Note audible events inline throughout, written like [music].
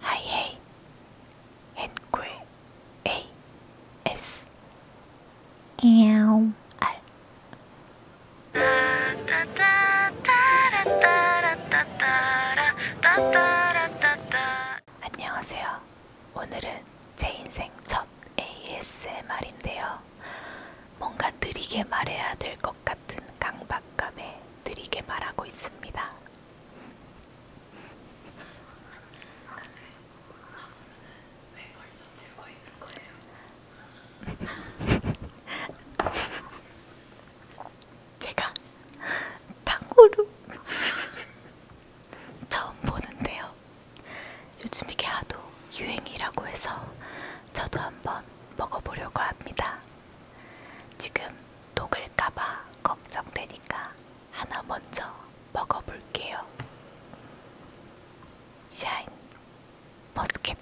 하이헤이 앤굴 A S M R 안녕하세요. 오늘은 제 인생 첫 ASMR인데요. 뭔가 느리게 말해야 될 것 같은 강박감에 느리게 말하고 있습니다. 왜 벌써 들고 있는 거예요? 제가 탕후루 처음 보는데요. 요즘 이게 하도 유행이라고 해서 저도 한번 먹어보려고 합니다. 지금 녹을까봐 걱정되니까 하나 먼저 먹어볼게요. 샤인 머스켓.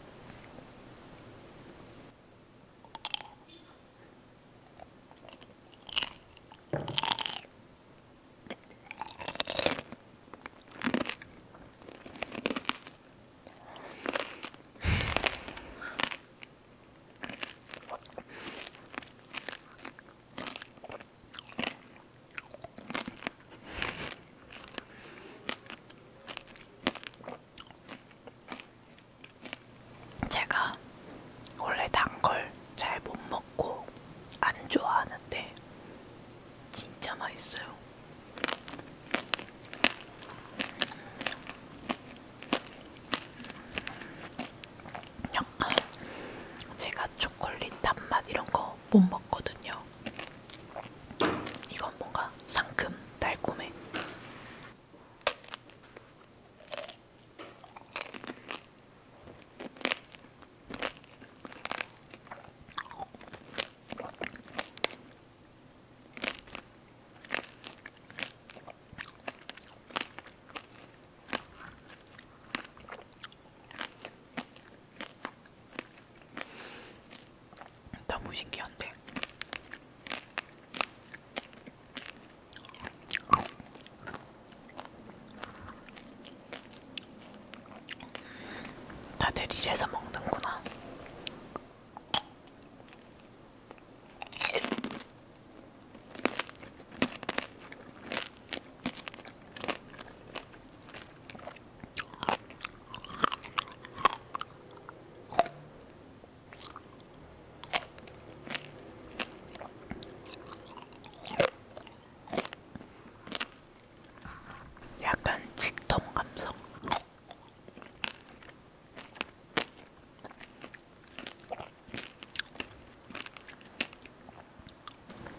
제가 원래 단 걸 잘 못 먹고 안 좋아하는데 진짜 맛있어요. 약간 제가 초콜릿 단맛 이런 거 못 먹거든요. 이건 뭔가 상큼 달콤해. 너무 신기한데. 다들 이래서 먹는구나. 약간 치통 감성.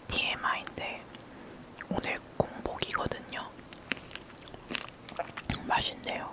TMI인데 오늘 공복이거든요. 맛있네요.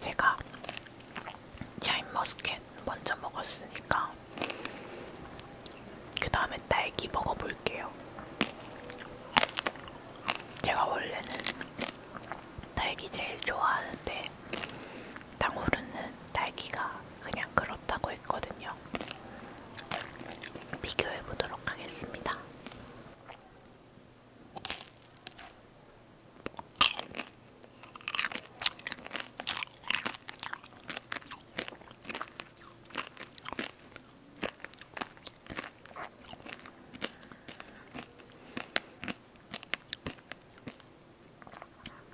제가 샤인머스켓 먼저 먹었으니까 그 다음에 딸기 먹어볼게요. 제가 원래는 딸기 제일 좋아하는데 당후루는 딸기가 그냥 그렇다고 했거든요. 비교해 보도록 하겠습니다.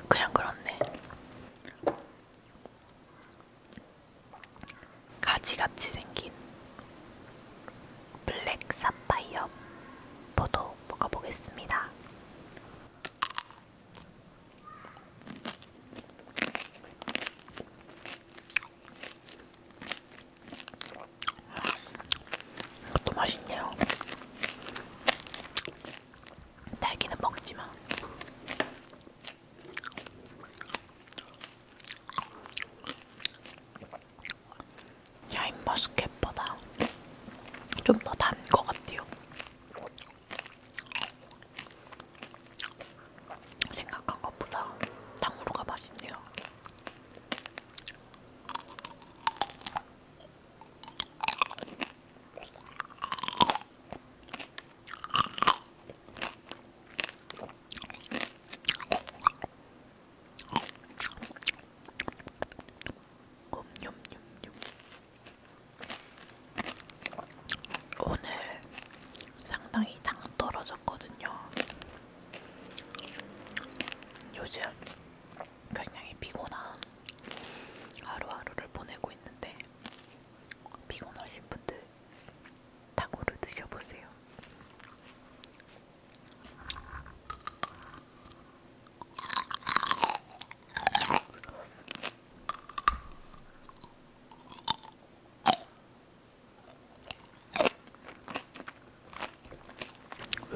그냥 그렇네. 가지같이 생긴 블랙 사파이어 포도 먹어보겠습니다. 이것도 맛있네요. 딸기는 먹지만. 샤인머스캣보다 좀 더 단 것 같아요. 생각한 것보다 탕후루가 맛있네요. 옴뇸뇸뇸 음, 음, 음, 오늘 상당히 당 떨어졌거든요. 요즘 굉장히 피곤한 하루하루를 보내고 있는데 피곤하신 분들 닭으로 드셔보세요.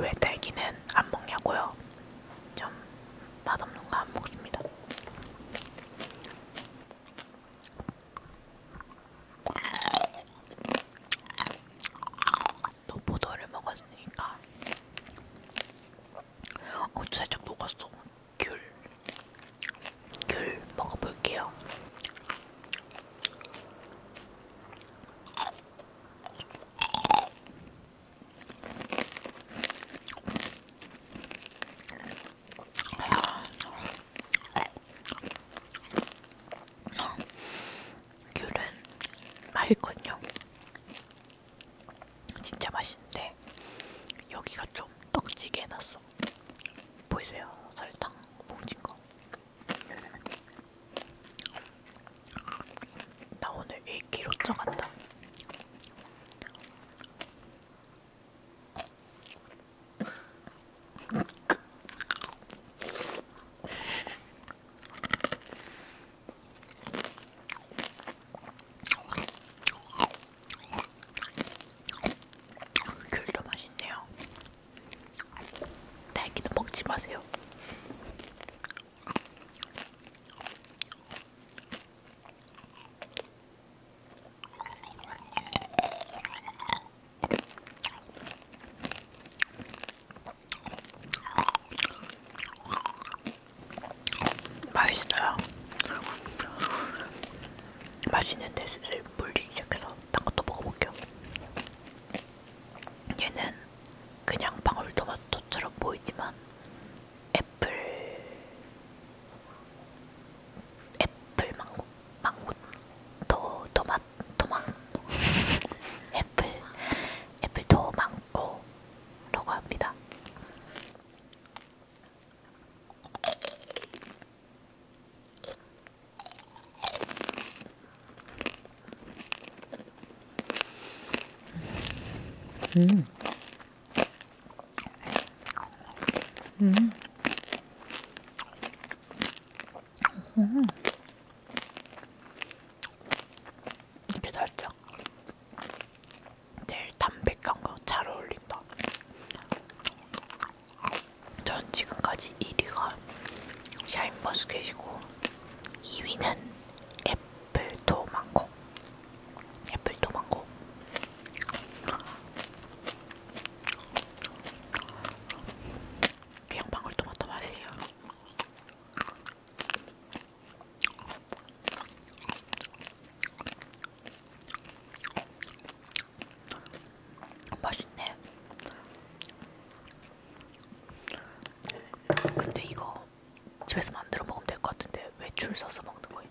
왜 딸기는 안 먹냐고요? 좀 맛없는 거 안 먹습니다. 또 포도를 먹었으니까 어 살짝 녹았어 귤 귤 먹어볼게요 귤은 맛있거든요. 진짜 맛있는데 여기가 좀 떡지게 해놨어. 보이세요? 설탕 뭉친 거. 나 오늘 1kg 쪄간다. 귤도 맛있네요. 딸기도 먹지 마세요. 맛있어요. 맛있는데 슬슬 물리기 시작해서 딴 것도 먹어볼게요. 얘는 그냥 방울토마토처럼 보이지만 애플 애플 망고 망고 토, 토마토 토망 애플 애플 토망고라고 합니다. 음. 음. 음. 이게 살짝 제일 담백한 거 잘 어울린다. 전 지금까지 1위가 샤인버스켓이고 2위는 애플도망고 애플도망고 그냥 방울토마토 맛이에요. 맛있네. 근데 이거 집에서 만들어 먹으면 될 것 같은데 왜 줄 서서 먹는 거예요?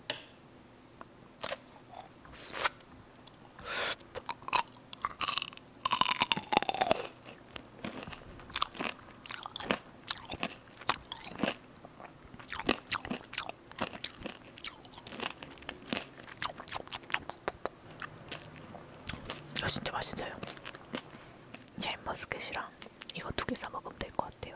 이거 아, 진짜 맛있어요. 잼머스켓이랑 이거 두개사 먹으면 될 것 같아요.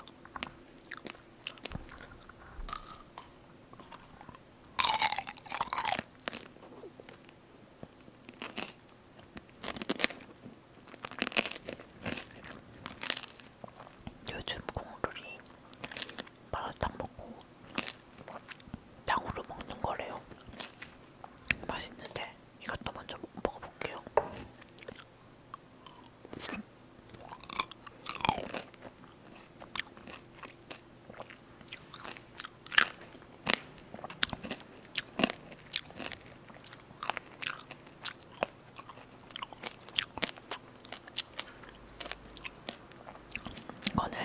요즘 공룰이 마라탕 먹고 땅으로 먹는 거래요. 맛있는데 이것도 먼저 먹어볼게요. 음. 이거는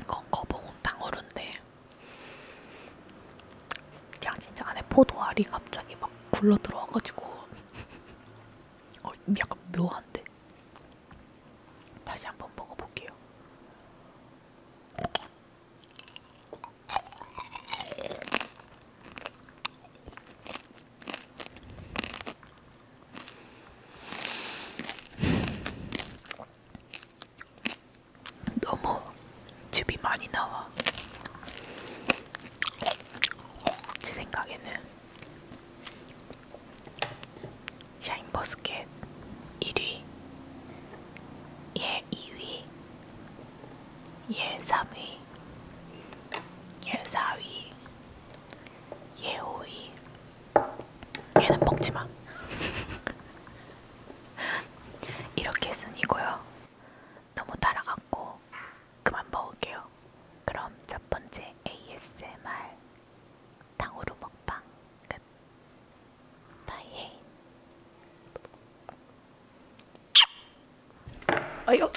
이건 거봉 탕후루인데 그냥 진짜 안에 포도알이 갑자기 막 굴러 들어와가지고 [laughs] 어, 약간 묘한데 다시 한번 먹어볼게요. 너무 즙이 많이 나와. 제 생각에는 샤인버스켓 1위, 얘 예, 2위, 얘 예, 3위, 얘 예, 4위, 얘 5위. 얘는 먹지 마. [laughs] 이렇게 순이고요. 너무 달아갖고 그만 먹을게요. 그럼 첫 번째 ASMR 탕후루 먹방 끝. 바이에이. 어이구, 아!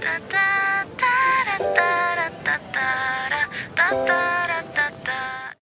따따따따따따따따따따따따